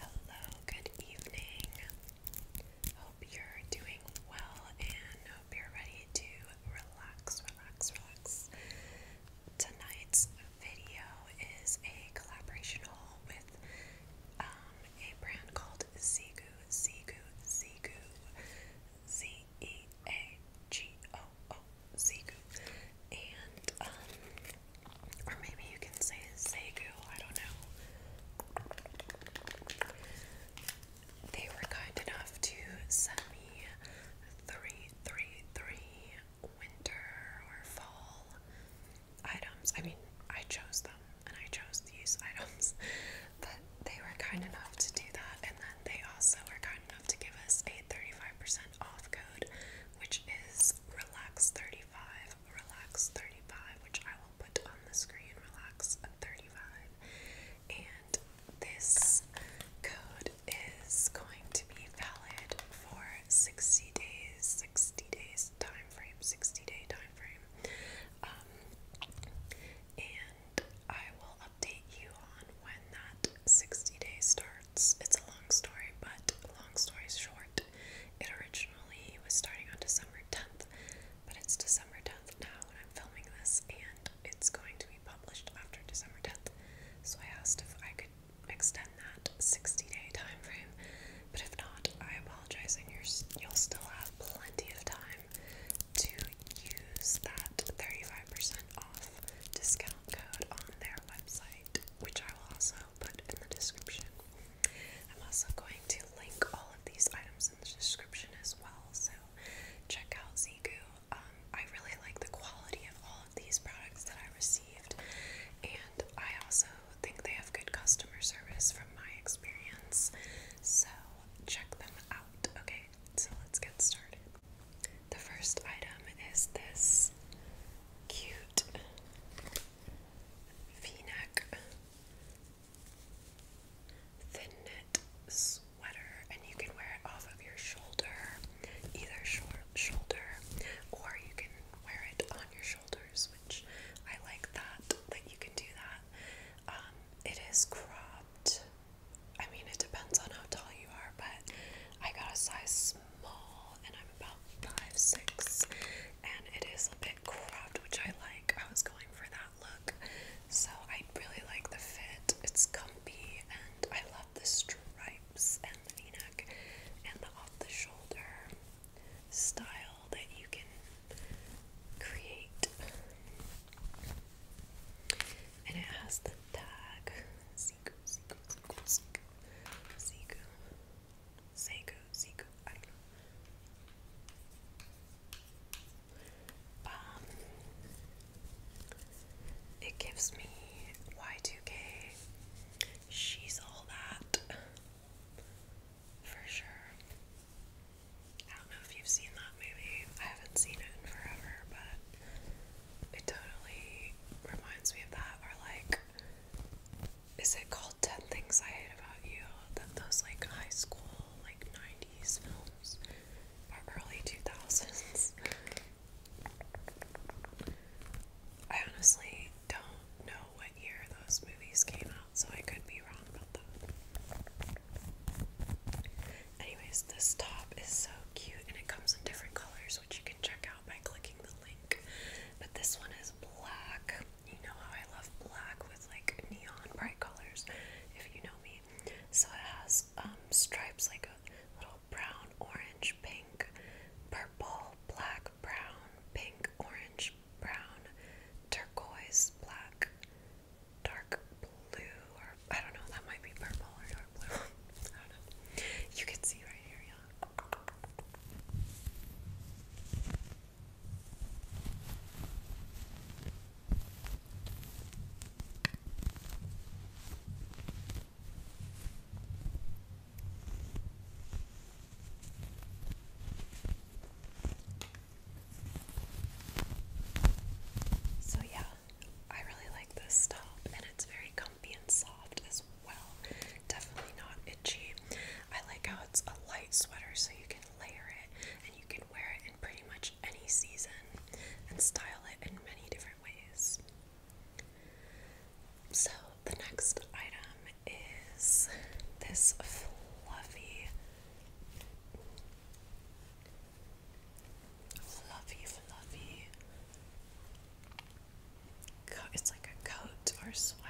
Hello, good evening. Hope you're doing well and hope you're ready to relax, relax, relax. Tonight's video is a collaboration with um, a brand called Zigu, Zigu, Zigu, Z E A G O O Segu. And, um, or maybe you can say Segu, I don't know. They were kind enough to send me three, three, three winter or fall items. I mean, I chose them and I chose these items, but they were kind enough to do that. And then they also were kind enough to give us a 35% off code which is Relax 35, Relax 35, which I will put on the screen, Relax 35. And this code is going to be valid for 60 days, 60 days time frame, 60 day time frame. Um, and I will update you on when that 60 days starts. It's a long story, but long story short, it originally was starting on December 10th, but it's December 10th now when I'm filming this, and it's going to be published after December 10th. So I asked if I could extend that 60 day time frame, but if not, I apologize, and you're, you'll still have plenty of time to use that 35% off discount code on their website which I will also put in the description. I'm also going to link all of these items in the description as well, so check out Zigu. Um, I really like the quality of all of these products that I received, and I also think they have good customer service from my experience, so check them out. Okay, so let's get started. The first item is this cute v-neck thin knit sweater, and you can wear it off of your shoulder, either short shoulder, or you can wear it on your shoulders, which I like that that you can do that. Um, it is cropped. I mean, it depends on how tall you are, but I got a size small and I'm about five six, and it is a bit cropped, which I like. I was going for that look, so I really like the fit. It's comfy, and I love the stripes and the v-neck and the off-the-shoulder style that you can create. And it has the tag. Um, it gives me Y2K. She's all that. For sure. I don't know if you've seen that movie. I haven't seen it in forever, but it totally reminds me of that. Or like, is it called Ten Things I Hate About You? That those like high school, like '90s films or early 2000s. I honestly don't know what year those movies came out, so I could be wrong about that. Anyways, this top is so cute and it comes in different colors, which you can check out by clicking the link. But this one is black. You know how I love black with like neon bright colors, if you know me. So it has um, stripes like a little brown, orange, pink, purple, black, brown, pink, orange, brown, turquoise, black, dark blue, or I don't know, that might be purple or dark blue. I don't know. You can see right here, yeah. So, yeah, I really like this stop, and it's very comfy and soft as well. Definitely not itchy. I like how it's a light sweater, so you can layer it and you can wear it in pretty much any season and style it in many different ways. So, the next item is this fluffy fluffy, fluffy. it's like a coat or sweater.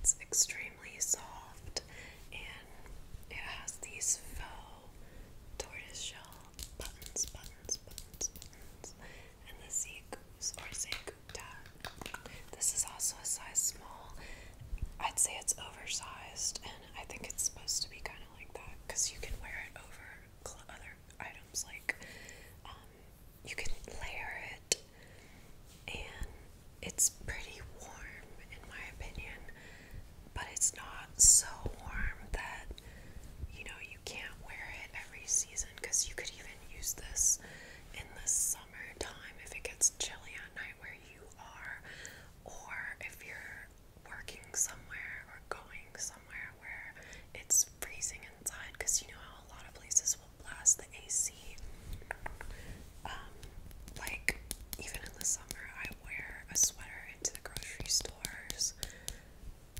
It's extremely soft and it has these faux tortoiseshell buttons, buttons, buttons, buttons, and the Seagoops or Seagoopta. This is also a size small. I'd say it's oversized and I think it's supposed to be kind of like that because you can wear it over other items like um, you can layer it and it's pretty warm in my opinion but it's not so warm that you know you can't wear it every season because you could even use this in the summertime if it gets chilly at night where you are or if you're working somewhere or going somewhere where it's freezing inside because you know how a lot of places will blast the AC. Um, like, even in the summer, I wear a sweater into the grocery stores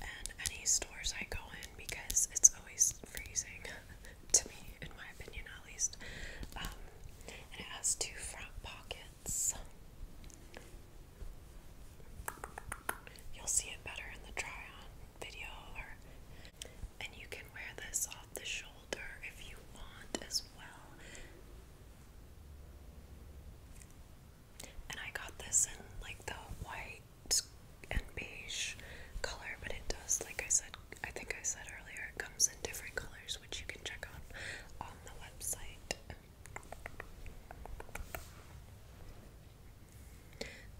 and any stores I go in because it's always freezing to me, in my opinion at least. Um, and it has two front pockets plants. You'll see it better in the try on video and you can wear this off the shoulder if you want as well. And I got this in like the white and beige color, but it does, like I said, I think I said earlier, it comes in different colors which you can check on on the website.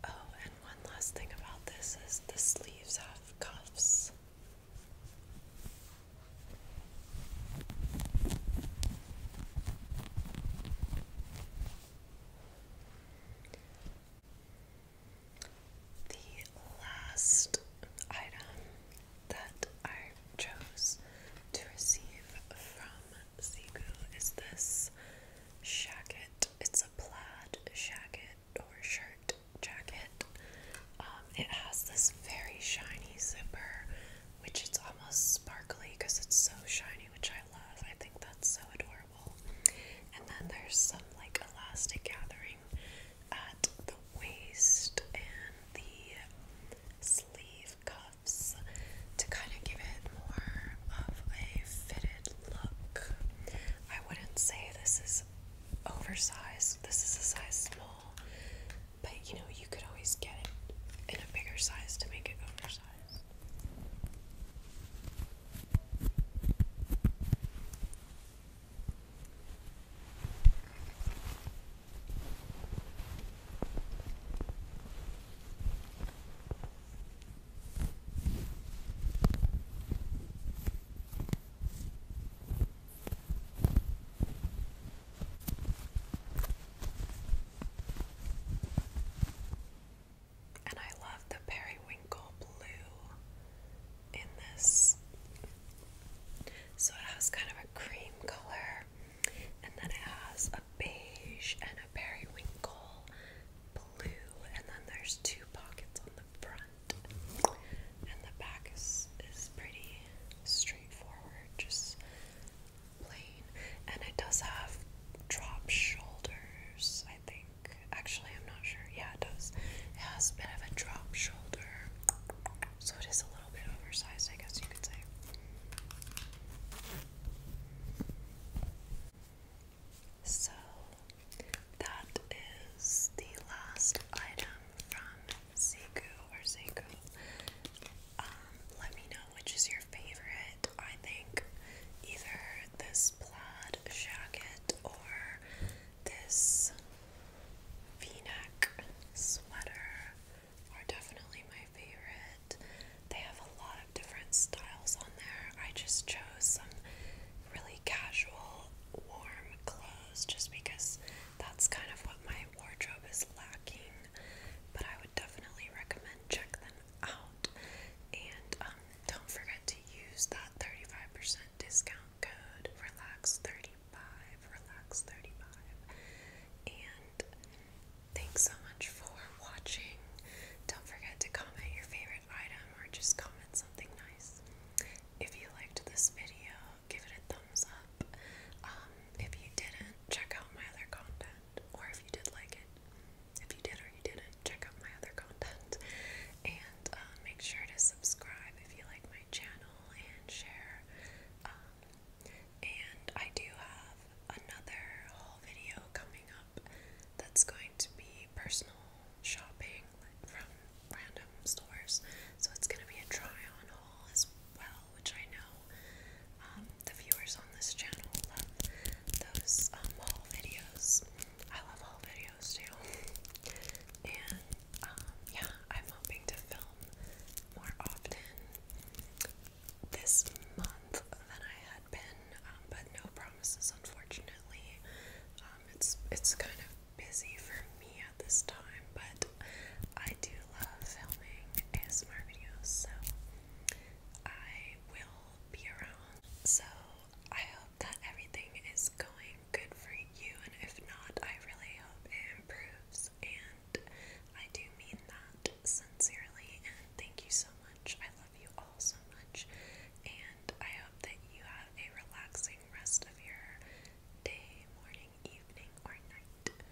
Oh, and one last thing about this is the sleeves have cuffs. The last item that I chose to receive from Zigu is this jacket. It's a plaid jacket or shirt jacket. Um, it has this very shiny zipper, which is almost sparkly because it's so shiny, which I love. I think that's so adorable. And then there's some like elastic gathering at the waist and the sleeve cuffs to kind of give it more of a fitted look. I wouldn't say this is oversized, this is a size small, but you know, you could always get it in a bigger size to make it oversized. And I love the periwinkle blue in this. So it has kind of a cream color, and then it has a beige and a periwinkle blue, and then there's two pockets on the front, and the back is is pretty straightforward, just plain, and it does have drop shoulders. I think actually. I'm not sure. Yeah, it does. It has a bit of a drop shoulder. So it is a little bit oversized, I guess you could say. So that is the last item from Seiku or Seiku. Um, let me know which is your favorite. I think either this plaid jacket or this v-neck sweater are definitely my favorite. They have a lot of different styles on there. I just chose some really casual, warm clothes just because that's kind of what my wardrobe is lacking. But I would definitely recommend check them out. And um, don't forget to use that 35% discount code relax35, relax35. And thanks so much for watching. Don't forget to comment your favorite item or just comment something nice. If you liked this video, give it a thumbs up. Um, if you didn't, check out my other content. Or if you did like it, if you did or you didn't, check out my other content and uh, make sure to subscribe if you like my channel and share. Um, and I do have another whole video coming up that's going to be personal shopping from random stores. So it's going to be a try on haul as well, which I know um, the viewers on this channel love those um, haul videos. I love haul videos videos And um, yeah, I'm hoping to film more often this month than I had been, um, but no promises, unfortunately. Um, it's it's kind of busy for me at this time, but I do love filming ASMR videos, so I will be around. So I hope that everything is going good for you, and if not, I really hope it improves. And I do mean that sincerely, and thank you so much. I love you all so much, and I hope that you have a relaxing rest of your day, morning, evening, or night.